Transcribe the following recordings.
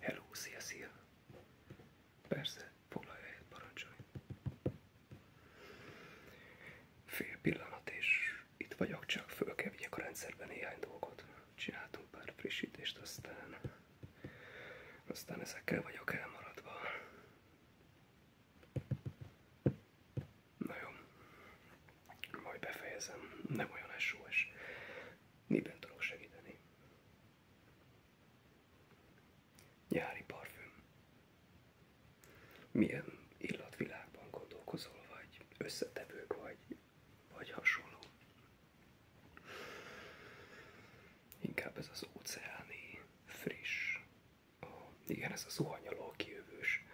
Hello, szia, szia! Persze, foglalj helyet, parancsolj! Fél pillanat, és itt vagyok, csak föl kell vigyek a rendszerben néhány dolgot. Csináltunk pár frissítést, aztán... Aztán ezekkel vagyok elmaradva. Na jó, nem olyan SOS. Miben segíteni? Nyári parfüm. Milyen illatvilágban gondolkozol, vagy összetevők, vagy, vagy hasonló? Inkább ez az óceáni, friss, igen, ez a zuhanyaló kijövős.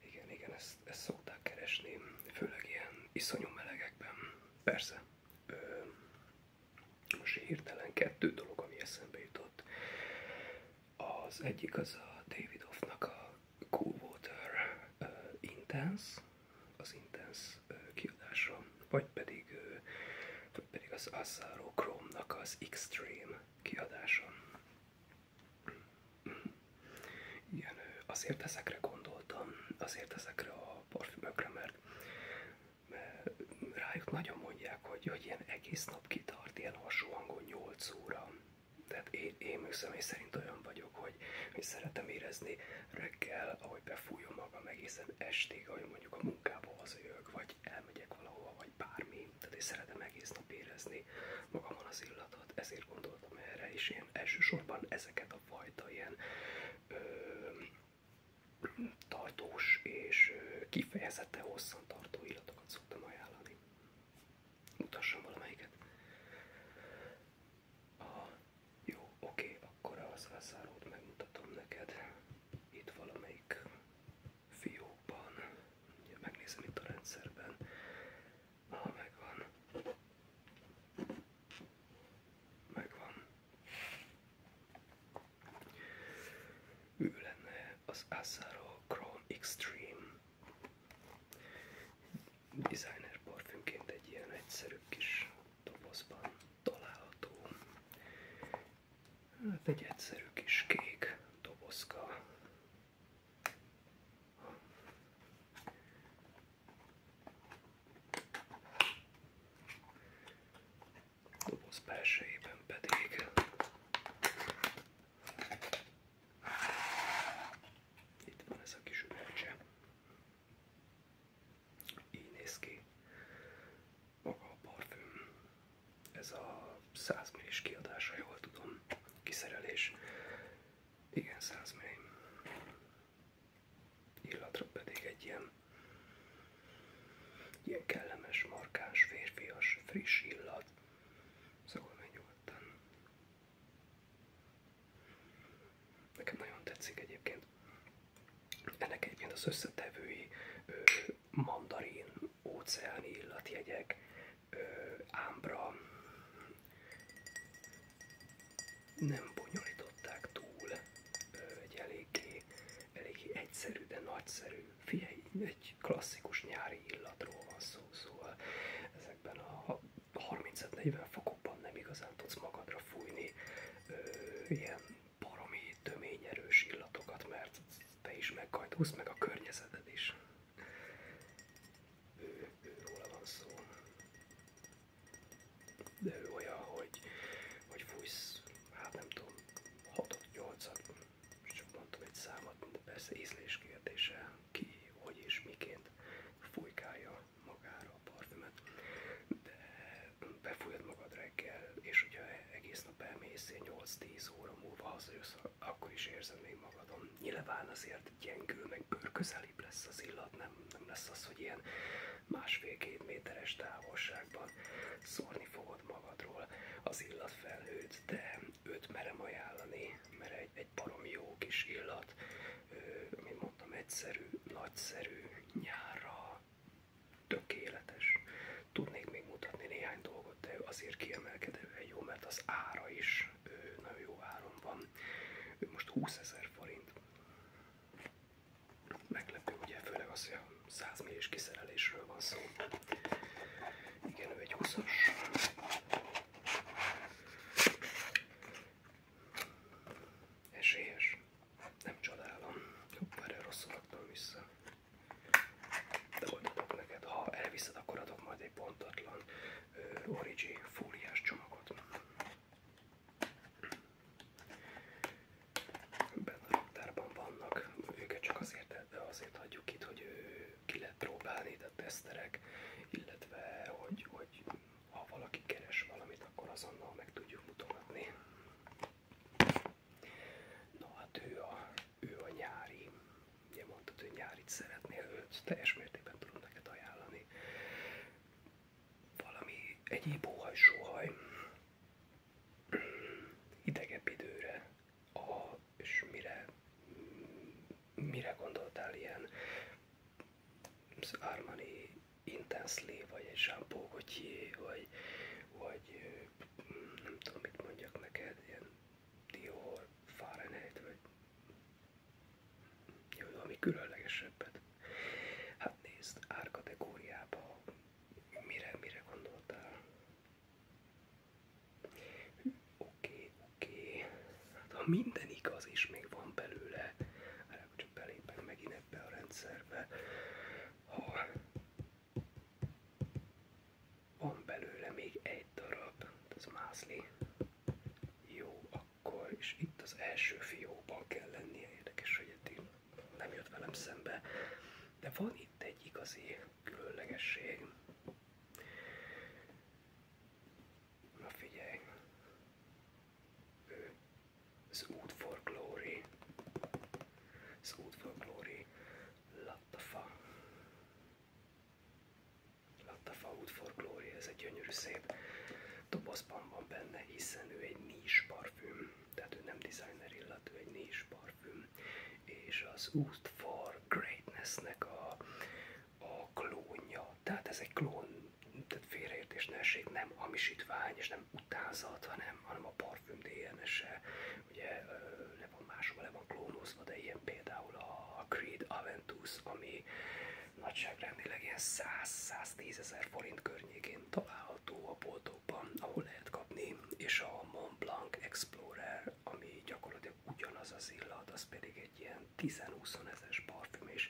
Igen, igen, ezt, ezt szokták keresni, főleg ilyen iszonyú melegekben. Persze, most hirtelen kettő dolog, ami eszembe jutott. Az egyik az a David a Cool Water Intense, az Intense kiadása, vagy pedig vagy pedig az Asaro Chrome-nak az Extreme kiadása. Igen, azért ezekre gondoltam, azért ezekre a parfümökre, mert, rájuk nagyon mondják, hogy, hogy ilyen egész nap kitart, ilyen hasonló hangon 8 óra. Tehát én, én személy szerint olyan vagyok, hogy, hogy szeretem érezni reggel, ahogy befújom magam egészen estig, ahogy mondjuk a munkába hazajövök, vagy elmegyek valahova, vagy bármi. Tehát én szeretem egész nap érezni magamon az illatot, ezért gondoltam erre, és én elsősorban ezeket a fajta ilyen ö, tartós és kifejezetten hosszan tartó illatokat szoktam ajánlani. Mutassam valamelyiket. jó, oké, okay, akkor az elszárót megmutatom neked. Itt valamelyik fiókban. megnézem itt a rendszerben. megvan. Megvan. Ő az Asaro Chrome Extreme. Designer parfümként egy ilyen egyszerű kis dobozban található. Hát egy egyszerű kis kék dobozka. pedig itt van ez a kis üvegcse. Így a parfüm. Ez a 100 millis kiadása, jól tudom, kiszerelés. Igen, 100 milli. Illatra pedig egy ilyen, ilyen kellemes, markás, férfias, friss illat. Szóval meg nyugodtan. Nekem nagyon tetszik egyébként. Ennek egyébként az összetevői mandarin, óceáni illatjegyek, ámbra nem bonyolították túl, egy eléggé, eléggé egyszerű, de nagyszerű. Figyelj, egy klasszikus nyári illatról van szó, szóval ezekben a 35-40 fokokban nem igazán tudsz magadra fújni ö, ilyen baromi töményerős illatokat, mert te is meghajtózsz, meg a környezeted is. Ő, Ő őróla van szó. De ő olyan, hogy, hogy fújsz, hát nem tudom, 6 8 csak mondtam egy számot, de persze ízlés kérdése, ki, hogy és miként fújkálja magára a parfümöt. De befújod magad reggel, és hogyha egész nap elmész, 8-10 óra múlva hazajössz, akkor is érzem még magadon. Nyilván azért gyengül, meg bőrközelibb lesz az illat, nem, nem lesz az, hogy ilyen másfél-két méteres távolságban szórni fogod magadról az illat illatfelhőt, de őt merem ajánlani, mert egy, egy barom jó kis illat, mint mondtam, egyszerű, nagyszerű, nyárra tökéletes. Tudnék még mutatni néhány dolgot, de ő azért kiemelkedően jó, mert az ára is ő nagyon jó áron van. Ő most 20 ezer forint. Meglepő, ugye, főleg az, hogy a 100 milliós kiszerelésről van szó. Igen, ő egy 20-as. Nem csodálom. Hoppá, erre rosszul raktam vissza. De ott adok neked, ha elviszed, akkor adok majd egy pontatlan uh, origi fóliás csomagot. Benne a raktárban vannak, őket csak azért, de azért hagyjuk itt, hogy ő ki lehet próbálni, de teszterek, illetve hogy, hogy ha valaki keres valamit, akkor azonnal meg tudjuk mutatni. Na hát ő a, ő a nyári, ugye mondtad, hogy nyárit szeretnél, őt teljes mértékben tudom neked ajánlani. Valami egyéb óhaj-sóhaj, hidegebb időre, a, és mire, mire gondoltál ilyen Armani Intensely, vagy egy Jean Paul vagy, vagy nem tudom mit mondjak neked, ilyen Dior, Fahrenheit, vagy jó, ami különlegesebbet. Hát nézd, árkategóriába mire, mire gondoltál? Oké, oké. Hát ha minden igaz, és még van belőle, hát csak belépek megint ebbe a rendszerbe, hal. Van belőle még egy darab, ez hát mászli. Jó, akkor, és itt az első fióban kell lennie, érdekes, hogy eddig nem jött velem szembe. De van itt egy igazi különlegesség. Na figyelj, ő az út for Glory, az út for Glory, Lattafa, Lattafa út for Glory, ez egy gyönyörű szép dobozban van benne, hiszen ő egy nis parfüm, tehát ő nem designer illat, ő egy nis parfüm, és az út for Greatnessnek a, a klónja, tehát ez egy klón, tehát félreértés ne essék, nem hamisítvány és nem utánzat, hanem nem, hanem a parfüm DNS-e ugye le van máshova, le van klónozva, de ilyen például a Creed Aventus, ami nagyságrendileg ilyen 100-110 ezer forint környékén található a boltokban, ahol lehet kapni, és a Mont Blanc Explorer, ami gyakorlatilag ugyanaz az illat, az pedig egy ilyen 10-20 ezeres parfüm is,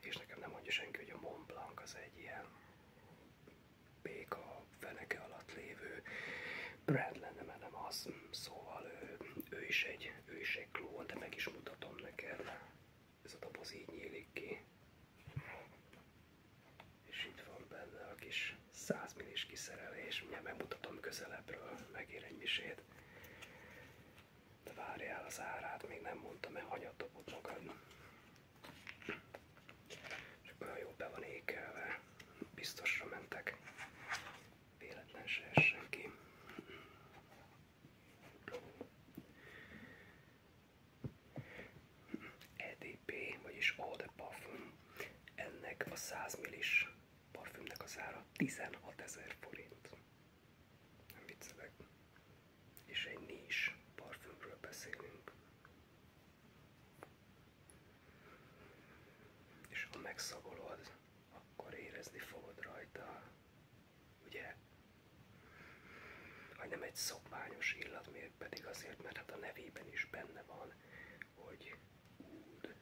és nekem nem mondja senki, hogy a Mont Blanc az egy ilyen a feneke alatt lévő brand lenne, mert nem az, szóval ő, ő, is egy, ő is egy klón, de meg is mutatom neked. Ez a doboz így nyílik ki. És itt van benne a kis 100 millis kiszerelés, mindjárt megmutatom közelebbről, megér egy misét. De várjál az árát, még nem mondtam el, hanyat dobod magad. És olyan jól be van ékelve, biztosra mentek, véletlen se essen ki. EDP, vagyis Eau de Parfum, ennek a 100 millis parfümnek az ára 16 ezer forint. Nem viccelek és egy nis parfümről beszélünk. És ha megszagolod, akkor érezni fogod rajta, ugye? Hogy nem egy szokványos illat, még pedig azért, mert hát a nevében is benne van, hogy úd.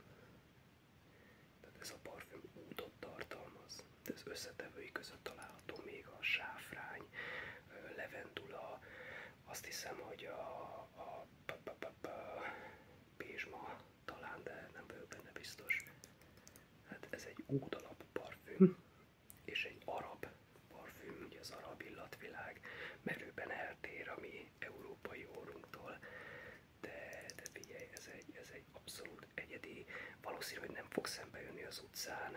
Tehát ez a parfüm údot tartalmaz. De az összetevői között található még a sáfrány, levendula, azt hiszem, hogy a, a p -p -p -p pézsma talán, de nem vagyok benne biztos. Hát ez egy ódalap parfüm, és egy arab parfüm, ugye az arab illatvilág merőben eltér a mi európai orrunktól, de, de figyelj, ez egy, ez egy abszolút egyedi, valószínű, hogy nem fog szembe jönni az utcán,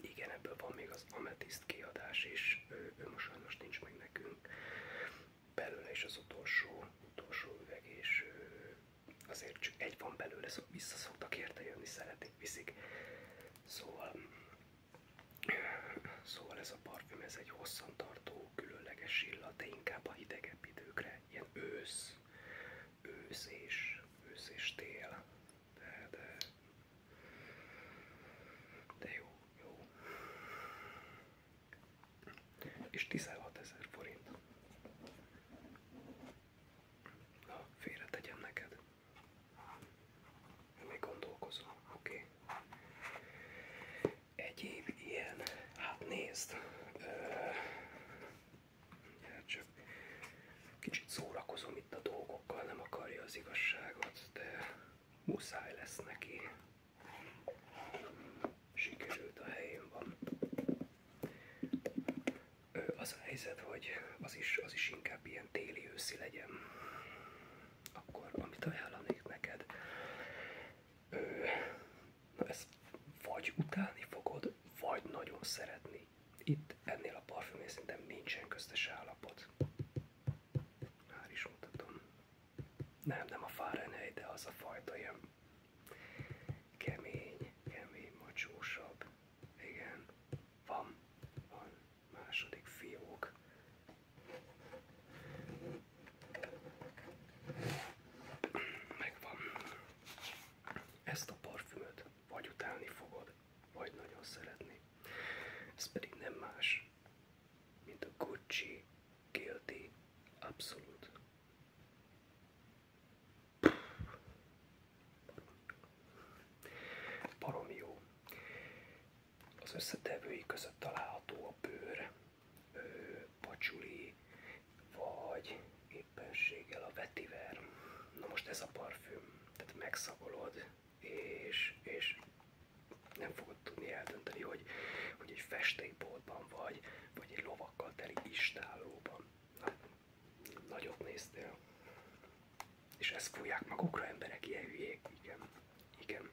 igen, ebből van még az Amethyst kiadás is, ő, ő most sajnos nincs meg nekünk. Belőle is az utolsó, utolsó üveg, és azért csak egy van belőle, szóval vissza szoktak érte jönni, szeretik, viszik. Szóval, szóval ez a parfüm, ez egy hosszantartó, különleges illat, de inkább a hidegebb időkre, ilyen ősz, ősz és, ősz és tél, de, de, de jó, jó. És 16 ezer forint. Na, félre tegyem neked. Még gondolkozom, oké. Okay. Egyéb ilyen, hát nézd, csak kicsit szórakozom itt a dolgokkal, nem akarja az igazságot, de muszáj lesz neki. Sikerült a helyén van. Az a helyzet, hogy az is, az is inkább ilyen téli őszi legyen. Akkor, amit ajánlanék neked, na ezt vagy utálni fogod, vagy nagyon szeretni itt ennél a parfümnél szerintem nincsen köztes állapot. Már is mutatom. Nem, nem a Fahrenheit, de az a fajta ilyen kemény, kemény, macsósabb. Igen, van, van második fiók. Megvan. Ezt a parfümöt vagy utálni fogod, vagy nagyon szeretni. Ez pedig nem más, mint a Gucci Guilty Absolute. Barom jó. Az összetevői között található a bőr, pacsuli, vagy éppenséggel a vetiver. Na most ez a parfüm, tehát megszagolod, és, és nem fogod tudni eldönteni, hogy, hogy egy festékboltban vagy, vagy egy lovakkal teli istállóban. Na, nagyot néztél. És ezt fújják magukra emberek, ilyen hülyék, igen, igen.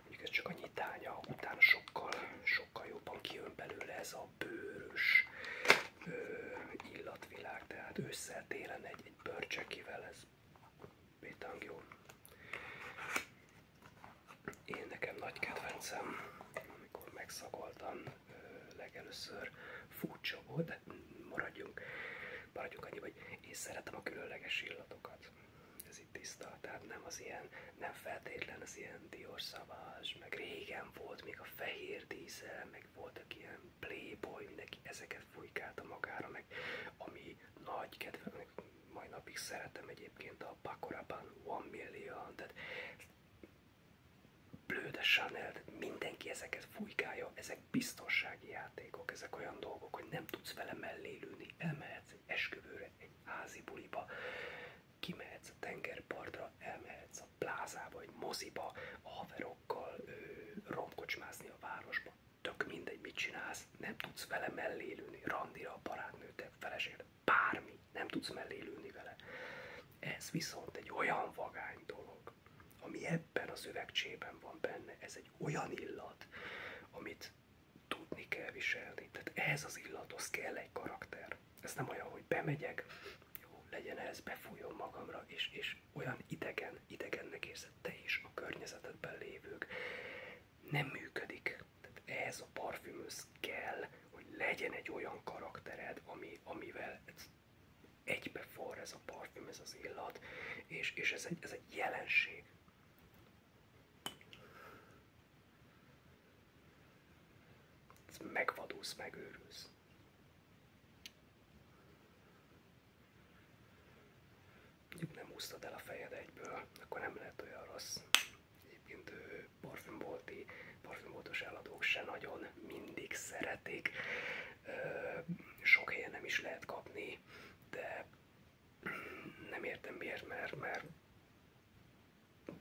Mondjuk ez csak a nyitánya, utána sokkal, sokkal sokkal jobban kijön belőle ez a bőrös ö, illatvilág, tehát ősszel télen egy, egy bőrcsekivel ez pétang jó. Én nekem nagy kedvencem, amikor megszagoltam ö, legelőször furcsa volt, de maradjunk, maradjunk annyi, hogy én szeretem a különleges illatokat. Ez itt tiszta, tehát nem az ilyen, nem feltétlen az ilyen ilyen diorszavás, meg régen volt még a fehér díszel, meg volt egy ilyen playboy, mindenki ezeket fújkálta magára, meg ami nagy kedvem, meg mai napig szeretem egyébként a pakorában One Million, tehát Blöde Chanel, tehát mindenki ezeket fújkálja, ezek biztonsági játékok, ezek olyan dolgok, hogy nem tudsz vele mellélülni, elmehetsz egy esküvőre, egy házi buliba, kimehetsz a tengerpartra, elmehetsz a plázába, vagy moziba, a haverokkal ö, romkocsmázni a városba. Tök mindegy, mit csinálsz, nem tudsz vele mellélülni, randira, barátnőt, feleséged, bármi, nem tudsz mellélülni vele. Ez viszont egy olyan vagány dolog, ami ebben az üvegcsében van benne, ez egy olyan illat, amit tudni kell viselni. Tehát ehhez az illathoz kell egy karakter már. Ez nem olyan, hogy bemegyek, jó, legyen ez, befújom magamra, és, és olyan idegen, idegennek érzed te is, a környezetedben lévők. Nem működik. Tehát ehhez a parfümöz kell, hogy legyen egy olyan karaktered, ami, amivel ez egybeforr ez a parfüm, ez az illat, és, és ez, egy, ez egy jelenség. Megvadulsz, megőrülsz. Mondjuk nem húztad el a fejed egyből, akkor nem lehet olyan rossz. Egyébként parfümbolti, parfümboltos eladók se nagyon mindig szeretik. Sok helyen nem is lehet kapni, de nem értem miért, mert, mert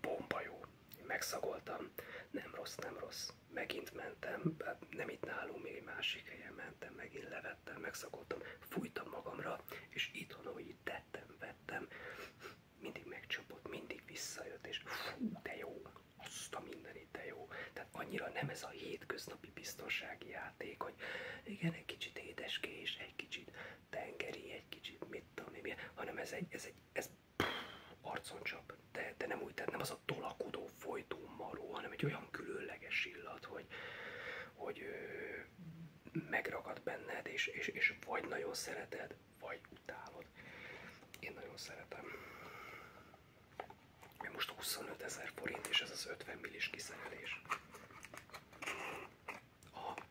bomba jó. Én megszagoltam, nem rossz, nem rossz. Megint mentem, nem itt nálunk, még egy másik helyen mentem, megint levettem, megszagoltam, fújtam magamra, és itthon, ahogy itt tettem, vettem, mindig megcsapott, mindig visszajött, és fú, de jó, azt a mindenit, de jó. Tehát annyira nem ez a hétköznapi biztonsági játék, hogy igen, egy kicsit édeskés, egy kicsit tengeri, egy kicsit mit tudom én, hanem ez egy, ez egy, ez csap. de, de nem úgy, tehát nem az a tolakodó, folytó maró, hanem egy olyan különleges illat, hogy, hogy ö, megragad benned, és, és, és vagy nagyon szereted, vagy utálod. Én nagyon szeretem. Én most 25 ezer forint, és ez az 50 millis kiszerelés. A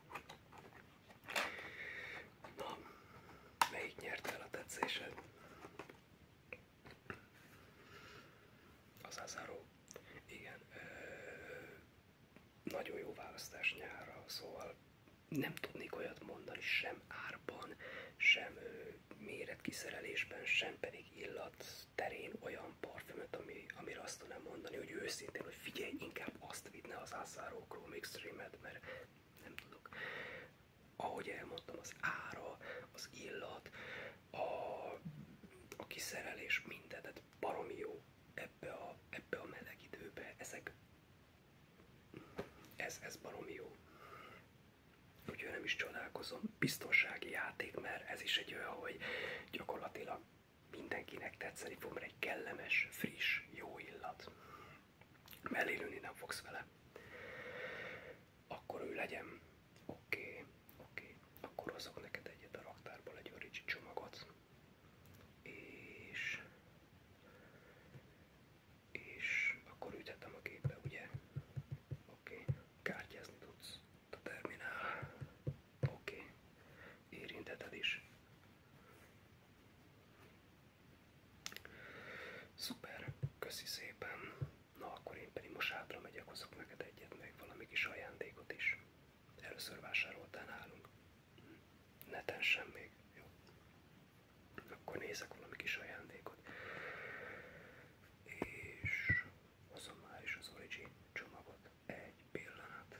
Na, melyik nyerte Az Azaro. Igen. nagyon jó választás nyárra, szóval nem tudnék olyat mondani sem árban, sem ö, méretkiszerelésben, sem pedig illat terén olyan parfümöt, ami, amire azt tudnám mondani, hogy őszintén, hogy figyelj, inkább azt vidne az Azaro Chrome Extreme-et, mert nem tudok. Ahogy elmondtam, az ára, az illat, a, a kiszerelés, minden, tehát baromi jó ebbe a, ebbe a meleg időbe, ezek, ez, ez baromi jó. Úgyhogy nem is csodálkozom. Biztonsági játék, mert ez is egy olyan, hogy gyakorlatilag mindenkinek tetszeni fog, mert egy kellemes, friss, jó illat mellélülni nem fogsz vele, akkor ő legyen. Oké, okay, oké, okay. akkor hozok neked egyet a raktárból egy origin csomagot, és, és akkor üthetem a képbe, ugye? Oké, okay. kártyázni tudsz a terminál. Oké, okay. érinteted is. Szuper, köszi szépen. Na akkor én pedig most hátra megyek, hozok neked egyet, még valami kis ajándékot is. Először vásároltál nálunk. Neten sem még, jó? Akkor nézek valami kis ajándékot. És hozom már is az Origi csomagot. Egy pillanat.